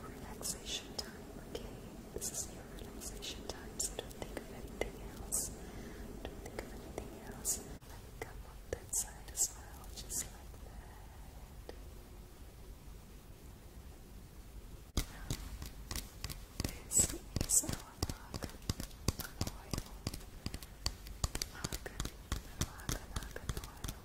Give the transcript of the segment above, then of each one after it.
relaxation time, okay? This is your relaxation time, so don't think of anything else. Don't think of anything else. Like, come on that side as well, just like that. This is our mug, an oil. Mug, mug, mug, an oil.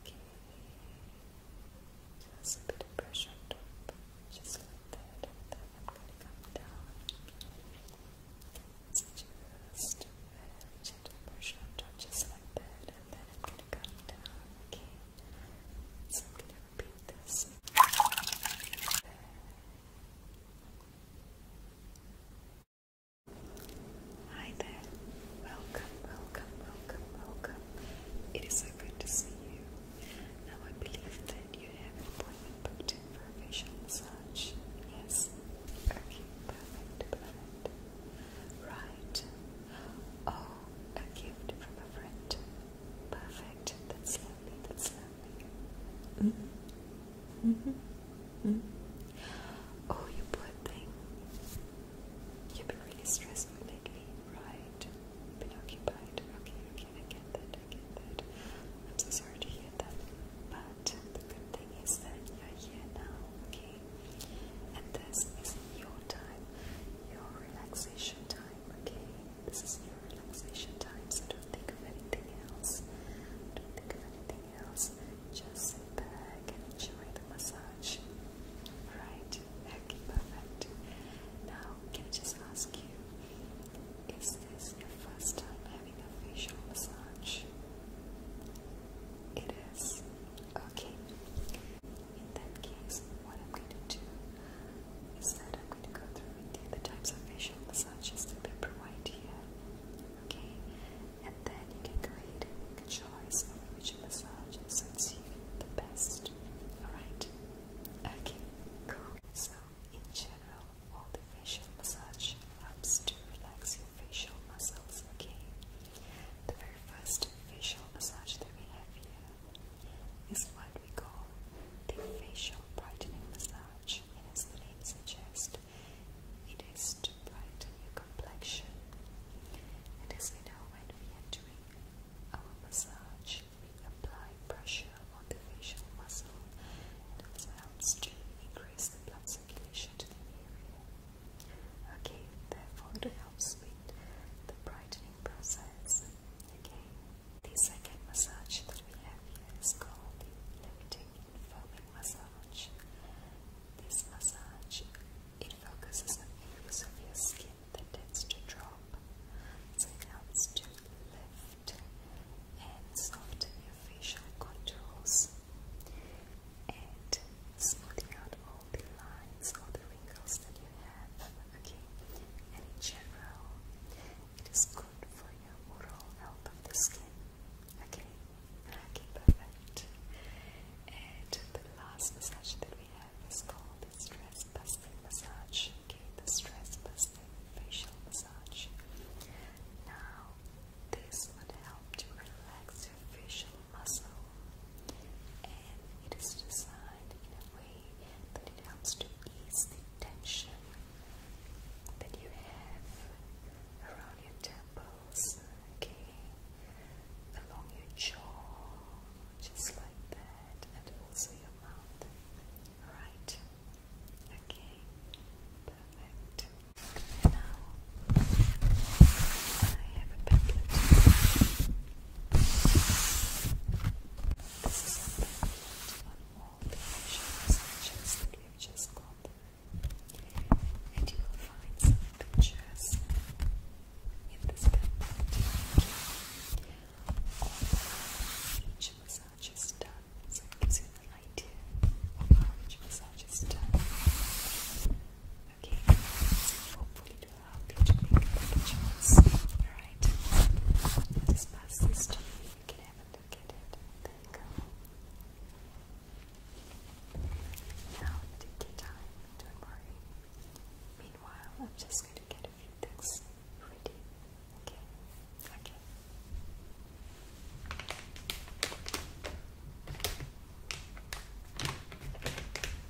Okay. Just a bit of pressure on top. Just like that. And then I'm gonna come down. It's just very gentle pressure on top, just like that. And then I'm gonna come down. Okay. So Hi there. Welcome, welcome, welcome, welcome. It is so good to see you. Now I believe that you have an appointment for a facial massage. Yes. Okay, perfect, perfect. Right. Oh, a gift from a friend. Perfect. That's lovely. That's lovely. Mm -hmm. Mm -hmm. Mm -hmm. Oh, you poor thing. You've been really stressful lately, right? Been occupied. Okay, okay, I get that. I get that. I'm so sorry to hear that. But the good thing is that you're here now, okay? And this is your time, your relaxation time, okay? This is your relaxation time, so don't think of anything else. Don't think of anything else. Just sit back and enjoy the massage. Right? perfect. Now, can I just ask you, is this your first time having a facial massage? It is. Okay in that case, what I'm going to do is that I'm going to go through the types of facial massages that we provide here. Okay? And then you can go and make a choice of which massage suits you the best. Alright? Okay, cool. So, in general, all the facial massage helps to relax your facial muscles, okay? The very first facial massage that we have here is what we call the facial brightening massage, and as the name suggests, it is to brighten your complexion. And as we know, when we are doing our massage, we apply pressure on the facial muscles, and this helps to increase the blood circulation to the area. Okay, therefore, it helps with the brightening process. Okay. The second massage that we have here is called the lifting and foaming massage. This massage it focuses on areas of your skin that tends to drop, so it helps to lift and soften your facial contours and smoothing out all the lines or the wrinkles that you have. Okay, and in general, it is good for your overall health of the skin. Okay, okay, perfect. And the last massage that we have is called the stress busting massage. Okay, the stress busting facial massage. Now, this would help to relax your facial muscle, and it is designed in a way body, it helps to ease the tension that you have around your temples, along your jaw, just like that, and also your mouth. Alright, okay, perfect. Now I have a pamphlet all the initials just that we've just gone through. And you will find some pictures in this pamphlet. each massage is done, so it gives you an idea of how each massage is done. Okay, hopefully I'll teach you Alright. Just pass this to me. You can have a look at it. There go. Now take your time, don't worry. Meanwhile, I'm just going to get a few things ready. Okay. Okay.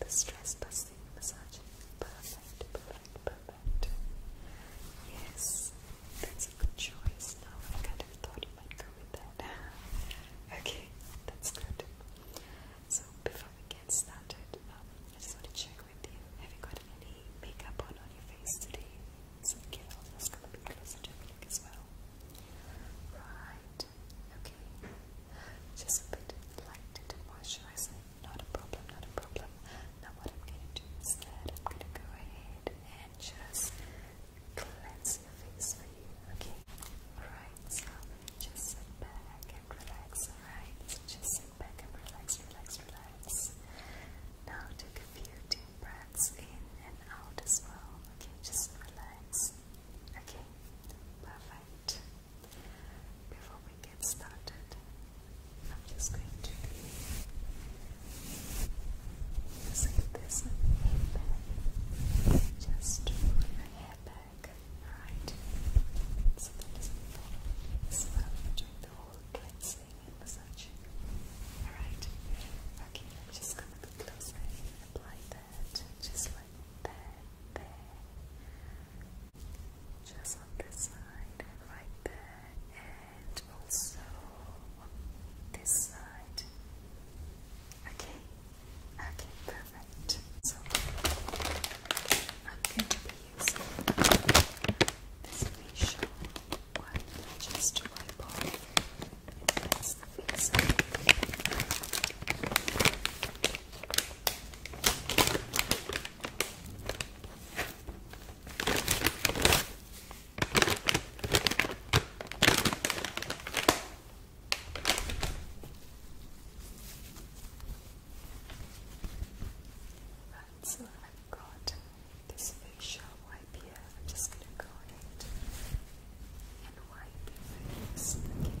The stress busting, massage, Perfect, perfect, perfect. Yes, that's a good choice. Now I kind of thought you might go with that. okay, that's good. So before we get started, um, just want to check with you. Have you got any makeup on on your face today? So okay, I'll just come a closer look as well. Right. Okay. Just a bit light and moisturizing. Not a problem, not a problem. Now what I'm gonna do instead, I'm gonna go ahead and just cleanse your face for you, okay? Alright, just sit back and relax, alright? just sit back and relax, relax, relax. Now take a few deep breaths in and out as well. Okay, just relax. Okay, perfect. Before we get started, I'm just going to be using this hair just to pull hair back, alright? So that is so I'm doing the whole cleansing and massaging. Alright? Okay, just going closer apply that just like that, there just on this side right there and also this side okay okay perfect so I'm going to be using this facial wipe just to wipe off and the face Right, so i got this facial wipe here. I'm just going to go ahead and wipe your face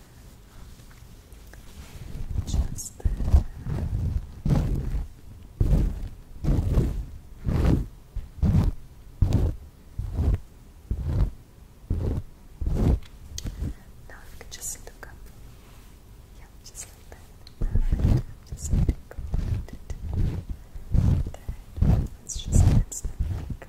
Just Now you can just look up. Yeah, just like that. Perfect. Just let it go. Let us just dance the mic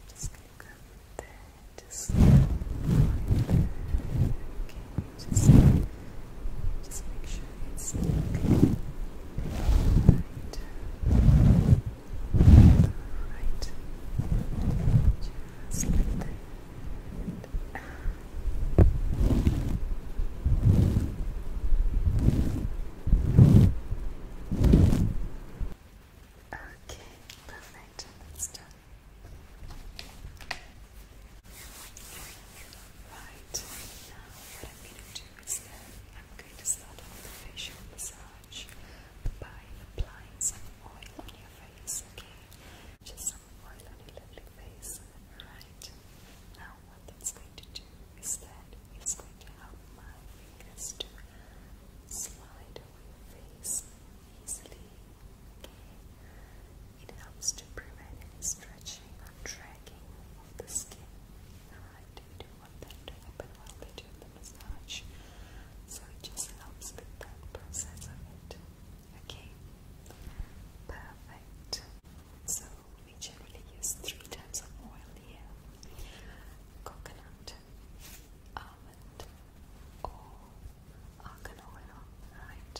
I'm just gonna go there just okay, just, just make sure it's Right. Right. Just like that. Okay, perfect. That's done. Right, now what I'm going to do is that I'm going to start off the facial massage by applying some oil on your face, okay? Just some oil on your lovely face, right? Now what that's going to do is that it's going to help my fingers to slide over your face easily. It helps to prevent any stretching or dragging of the skin. Alright, don't want that to happen while we do the massage. So it just helps with that process of it. Okay. Perfect. So we generally use three types of oil here coconut, almond, or argan oil. Right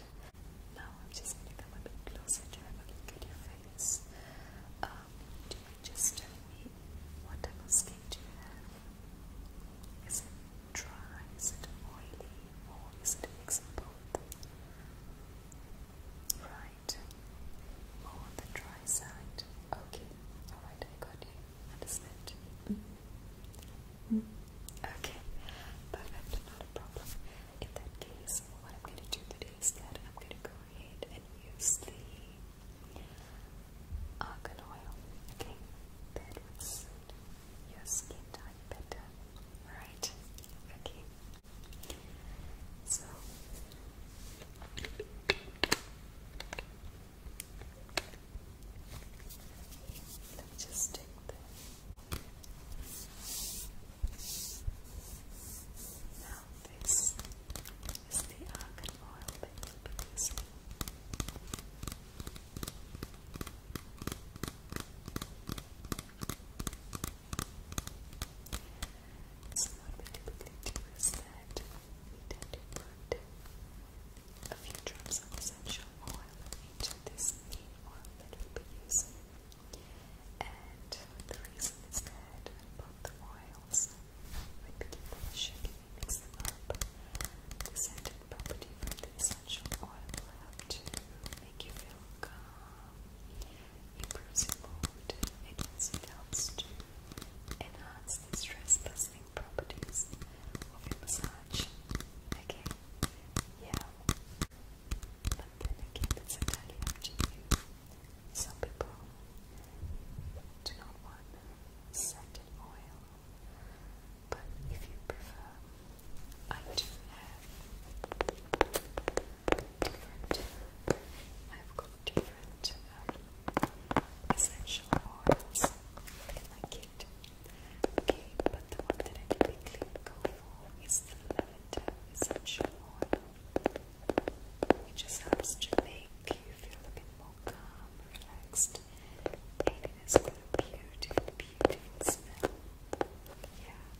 now, I'm just going to a bit closer to have a look at your face. Um, do you just tell me what type of skin you have? Is it dry? Is it oily? Or is it a Right. More the dry side. Okay. Alright, I got you. Understand. Mm-hmm. Mm-hmm. Okay. Perfect. Not a problem. In that case, what I'm going to do today is that I'm going to go ahead and use the argan oil. Okay. That would suit your skin type better. Right. Okay. So let me just take this. Now this is the argan oil that we'll be using. Now it's not a typically do is that we tend to put a few drops of essential oil into this main oil that we'll be And the reason is that both the oils, we give them a and we them up, the scented property from the essential oil will help to make you feel calm Improves your mood. It also helps to enhance the stress lessening properties of your massage. Okay? Yeah. But then again, it's entirely Some people do not want scented oil, but if you prefer, I do I've got different um, essential oils in my kit. Okay, but the one that I typically go for is the lavender essential oil. It just helps to make you feel a bit more calm, relaxed, and it has a beautiful, beautiful smell. Yeah,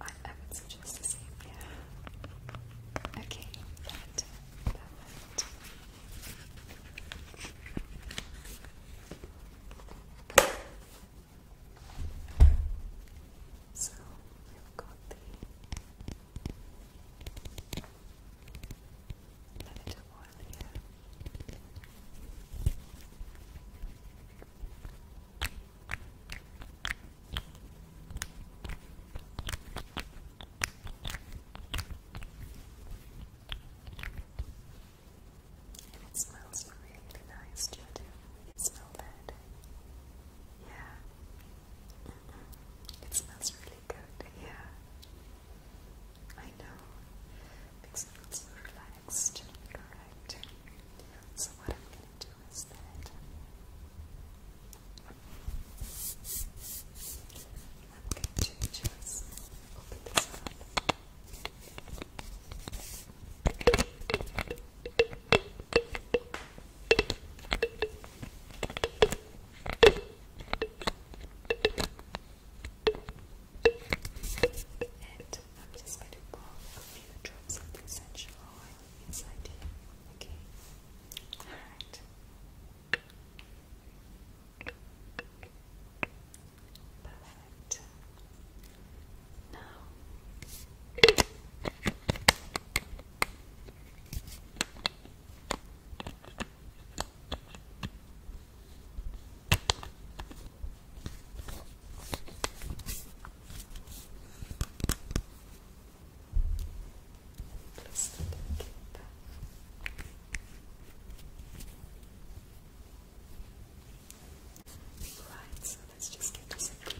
I, would suggest the same, yeah. Okay, So we've got the lavender oil here it smells really nice too. You smell that? Yeah. It smells really good. Yeah. I know. Makes me feel so relaxed. So what I'm going to do is that I'm going to just open this up. I'm just going to pour a few drops of the essential oil inside here, okay? Alright. Perfect. Now Let's Right, so let's just get this a Okay,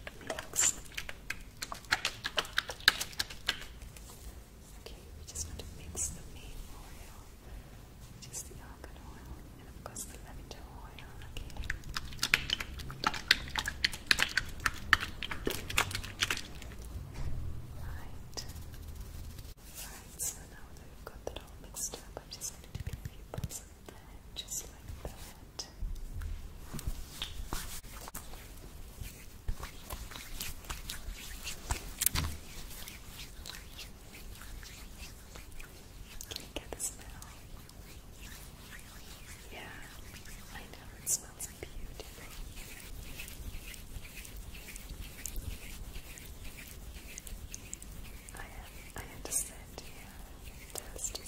we just want to mix the main oil, which the almond oil and Right. Right, so now that we've got that all mixed up, I'm just going to take a few just like that. Can you get the smell? Yeah, I know it smells beautiful. I have, I have to sit here and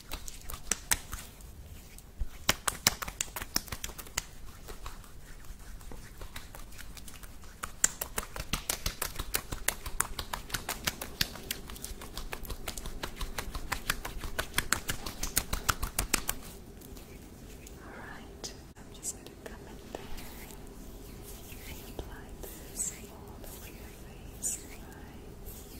Alright, I'm just going to come in there and apply this all over your face,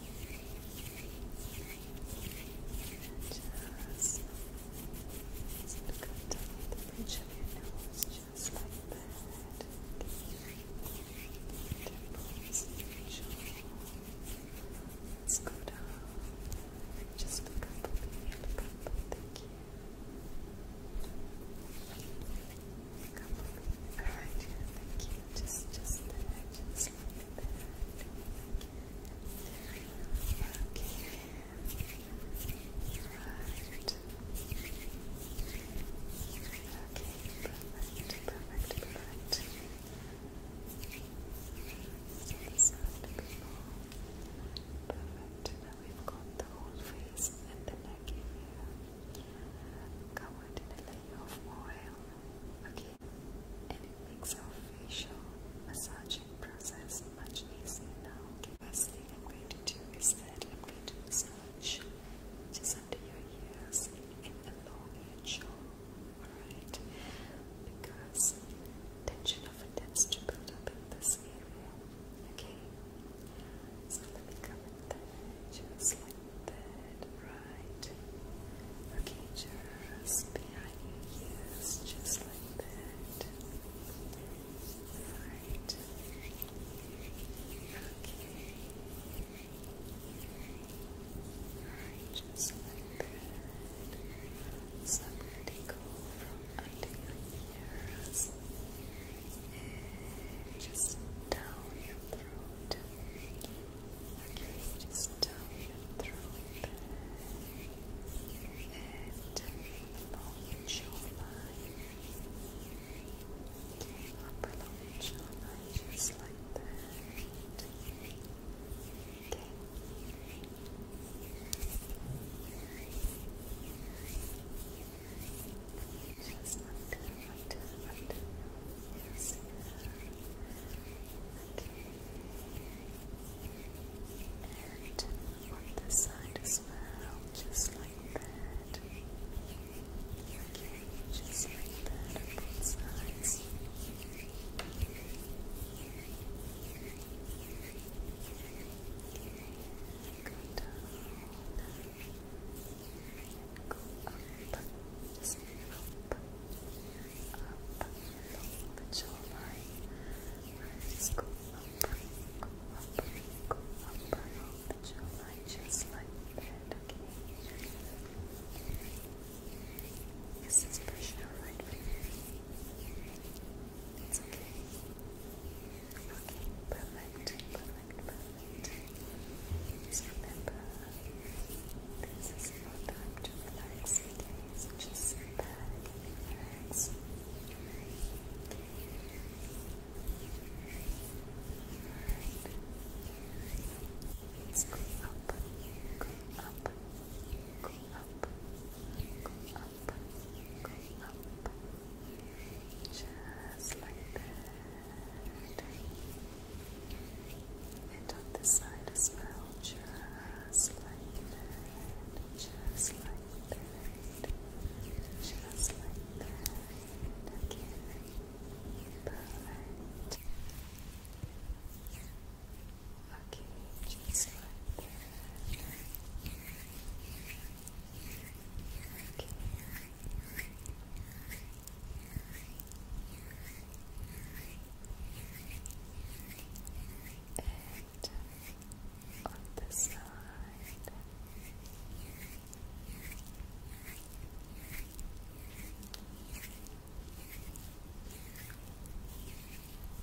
Just cut down the bridge just like that. Temples, go down. Just look up, look up, thank you. Look up, alright, yeah, thank Just, just just Just like that. Perfect. Now we've got the whole face and the neck area covered in a layer of oil. Okay, and it makes our facial massaging process much easier now. first thing I'm to do is that i just under your ears and along your jaw, alright? Because tension often tends to build up in this area, okay? So let me come there, just like that, right? right. Okay, just behind you, yes, just like that. Right. Okay. Right, just like that. So i from under your ears just down your throat. Just down your throat and along your jawline. Up along jawline, just like that. Okay. Just under, under, under. Yes. And on this side just like that. just like that on both sides. down. Go up. Just up up, but you'll find words go up, go up, go up, but you'll find just like that, okay? This is pressure right for you. It's okay. Okay, perfect, perfect, perfect. Just remember this is your time to relax, Just relax. go up, go up, go up, go up, go up. Just like that. And on this side as well, just like that, just like that, just like that. Again, perfect. Okay, just like that. Okay and on the side. And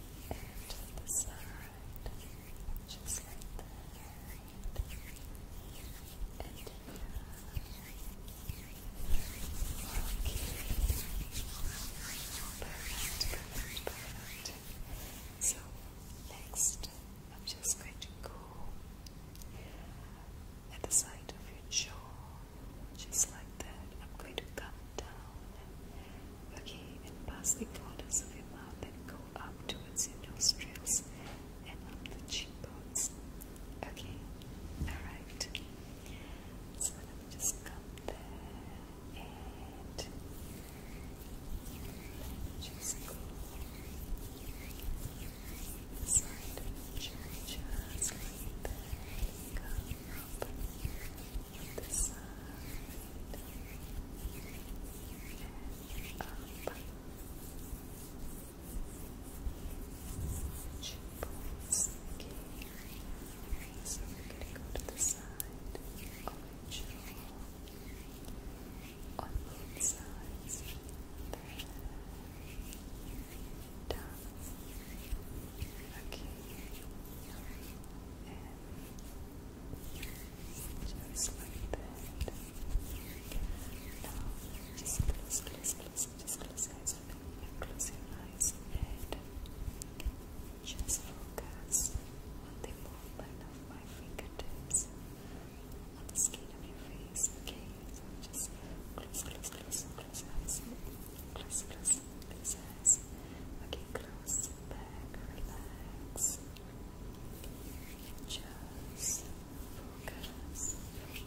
to the side, just like that. And here. Perfect, perfect, So next I'm just going to go at the side of your jaw, just like that. I'm going to come down, okay, and pass the corners of your mouth and go up towards your nostrils and up the cheekbones. Okay, alright. So let me just come there and just go side of the church, just like that. Come up uh, on this side and up. She pulls the key so we're going to go to the side on the jaw, down, okay, and just like that. Now, just close, close, close, just close close your eyes and just focus on the movement of my fingertips on the skin of your face. Okay, just close, close, close, close eyes, close, close, close eyes. Okay, close back, relax. Just focus,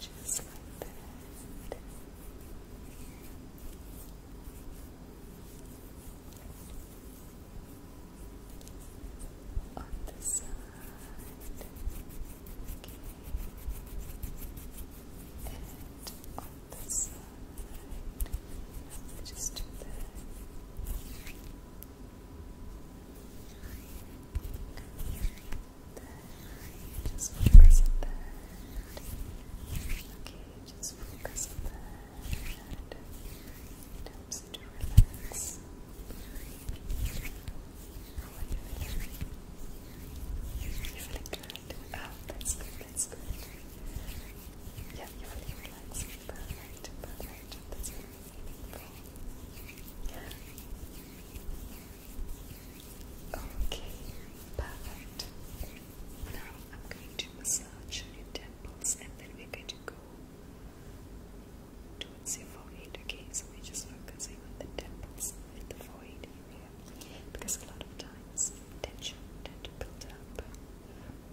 Just like that. On the side. Okay. And on the side. Just do that there. Just focus on that. Okay, just focus on that. It helps to relax. you are feeling good. Oh, that's good, that's good. Yeah, you're feeling relaxed. Perfect, perfect. That's very Okay, perfect. Now I'm going to massage your temples and then we're going to go towards your forehead. Okay, so we just focusing on the temples and the forehead area because a lot of times tension tends to build up,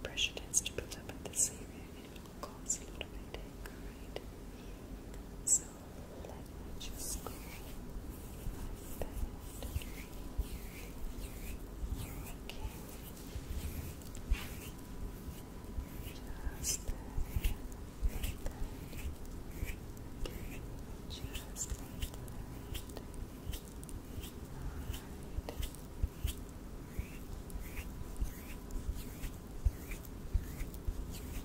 pressure tends to build up in this area and it will cause a lot of headache, Alright. Let me just go like that. Okay. Just there, like that. Just like that. Alright.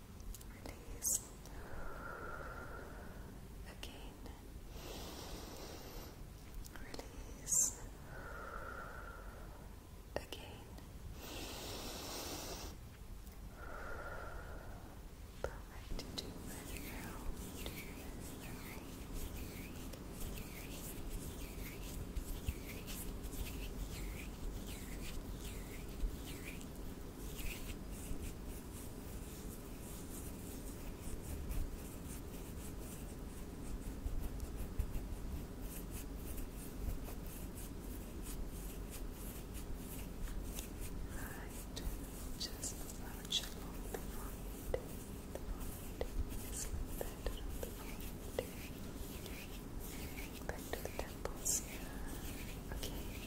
Release. Again. Release. Again. Perfect. Do it Right, just approach along the front, the front, just like that around the front, back to the temples okay,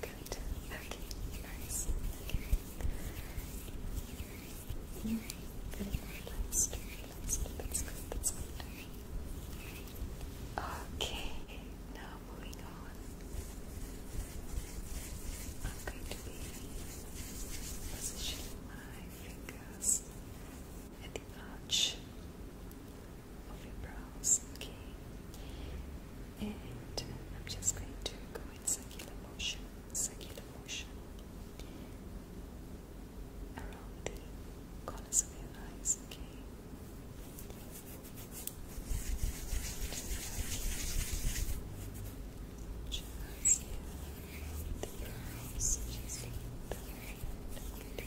Good. Okay. Nice. Okay. Relaxed. That's good. That's good. Okay. Now moving on. I'm going to be positioning my fingers at the arch of your brows. Okay and I'm just going to go in circular motion, circular motion around the corners of your eyes, okay? Just here, the eyes, just the hand, up,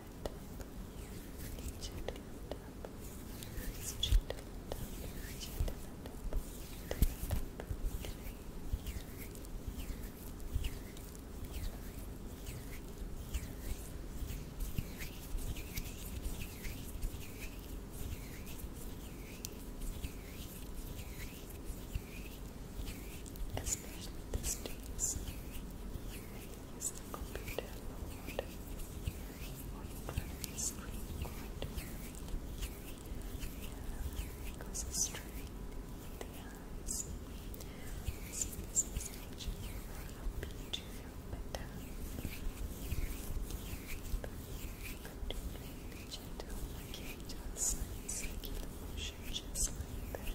it up, Especially the streets use the computer mode on primary it's straight in the eyes. So this is actually very helping to feel better. Continuing just like circular motion, just like that.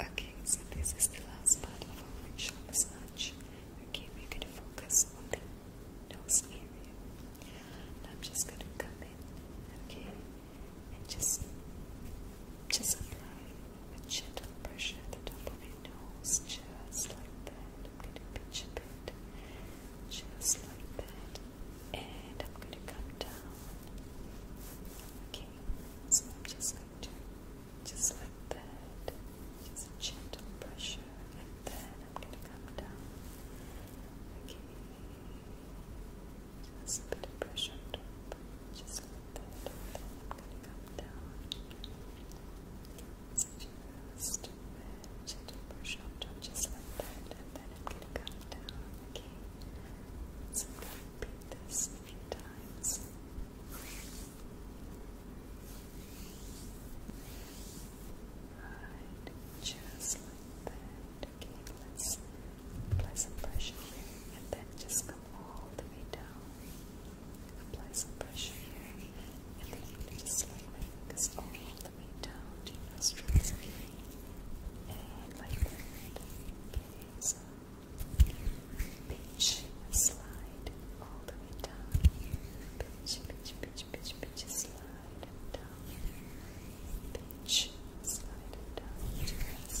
Okay, so this is the last part of our facial massage. Okay, we're going to focus on the nose area. I'm just going to come in, okay, and just, just apply a gentle pressure at the top of your nose, just like that. I'm going to pinch a just like that, and I'm going to come down. Okay, so I'm just going to, just like that. Just gentle pressure, and then I'm going to come down. Okay. Just a bit of pressure Just a little bit, and then I'm going to come down. Just a bit, gentle pressure just like that, and then I'm going to come down. Okay. So going to repeat this few times. just like that. Okay, let's apply some pressure here and then just come all the way down. Apply some pressure here and then just slide my fingers all the way down to your nostrils. And like that. Okay, Pitch, slide all the way down here. Pitch, pitch, pitch, pitch, slide down. Pitch, slide down, just like that. Good.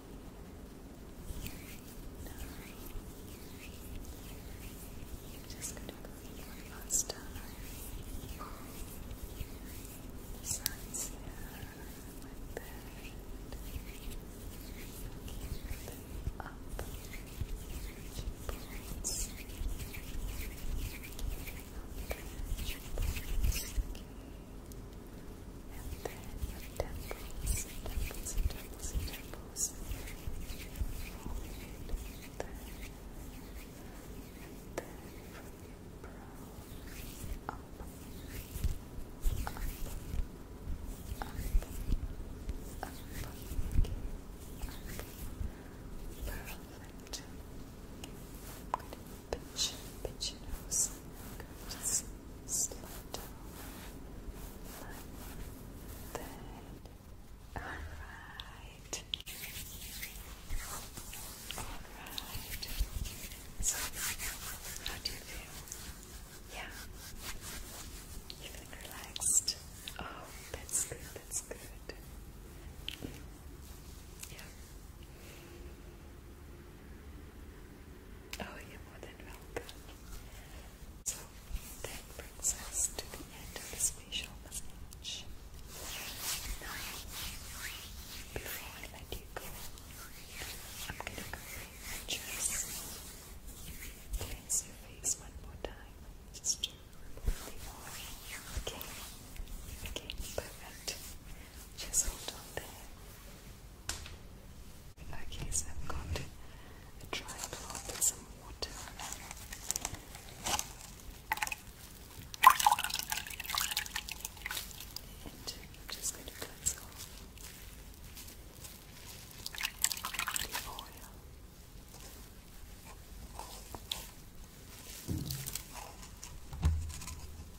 I'm just going to put my thoughts down the here, like that. Up cheekbones. Up and then your temples, temples, temples, temples. Hold it. And then, and then from your brow up, up, up, up, okay. Perfect. I'm going to pinch, pinch your nose. Just slow down All right. All right. So, how do you feel? Yeah. You feel relaxed? Oh, that's good. That's good. Yeah. Oh, you're more than welcome. So that brings us to the end of this facial massage. Now, before I let you go, I'm gonna just cleanse your face one more time. Just to remove Okay, perfect. Just hold on there. Okay, so I've got a dry cloth with some water And I'm just going to cleanse off the oil.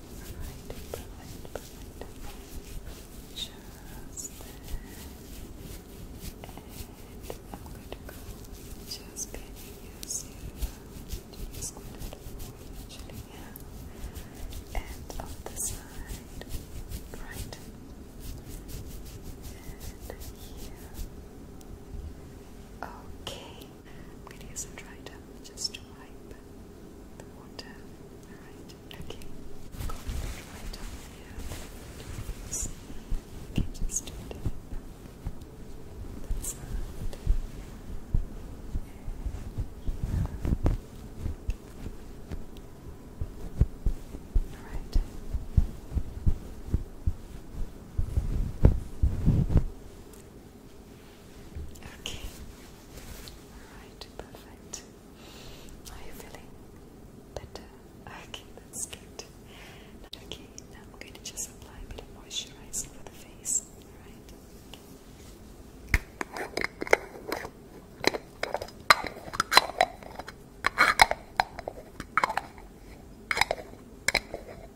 Alright, perfect, perfect. Just And I'm going to go just pinning your serum. Just going to do And on the side. Right. And here. Okay. I'm going to use some dry just to wipe the water. Alright, okay. got a dry here. So just do it That's that. Alright. Okay. Alright, perfect. Are you feeling better? Okay, that's good. Okay, now I'm going to just apply a bit of moisturizer for the face. Alright?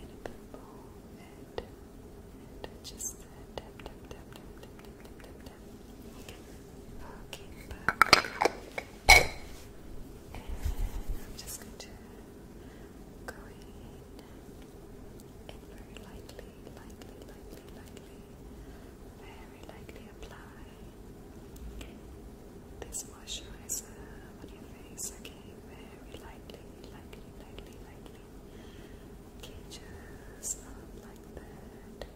and a just I'm just going to very lightly, lightly, lightly, lightly, very lightly apply this moisturizer on your face, okay? Very lightly, lightly, lightly, lightly. Okay, just not like that.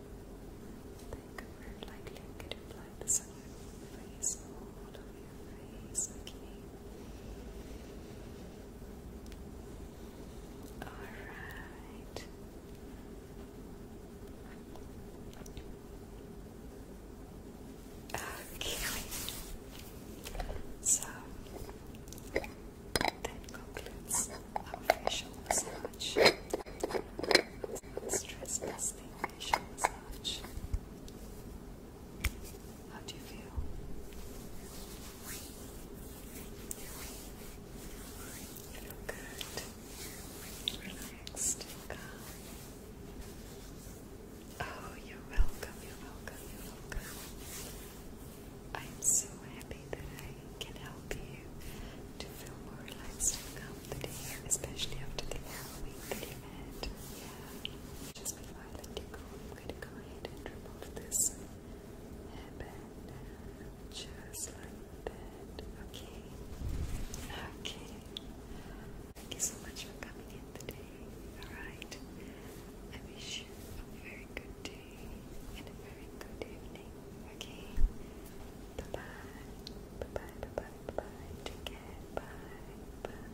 Think very lightly. I'm going to on your face, all Alright. Okay. So that concludes our facial massage. Stress testing facial massage. How do you feel? You feel good, relaxed, Oh, you're welcome, you're welcome, you're welcome. I'm so happy that I can help you to feel more relaxed and calm today, especially after the Halloween that Yeah. Just before I let you go, I'm going to go ahead and remove this hairband. Just like that. Okay. Okay. Thank you so much for coming in today. Alright. I wish you a very good day and a very good evening. Okay? Bye bye. Bye bye. Bye bye. Bye bye. Bye. Bye. Bye.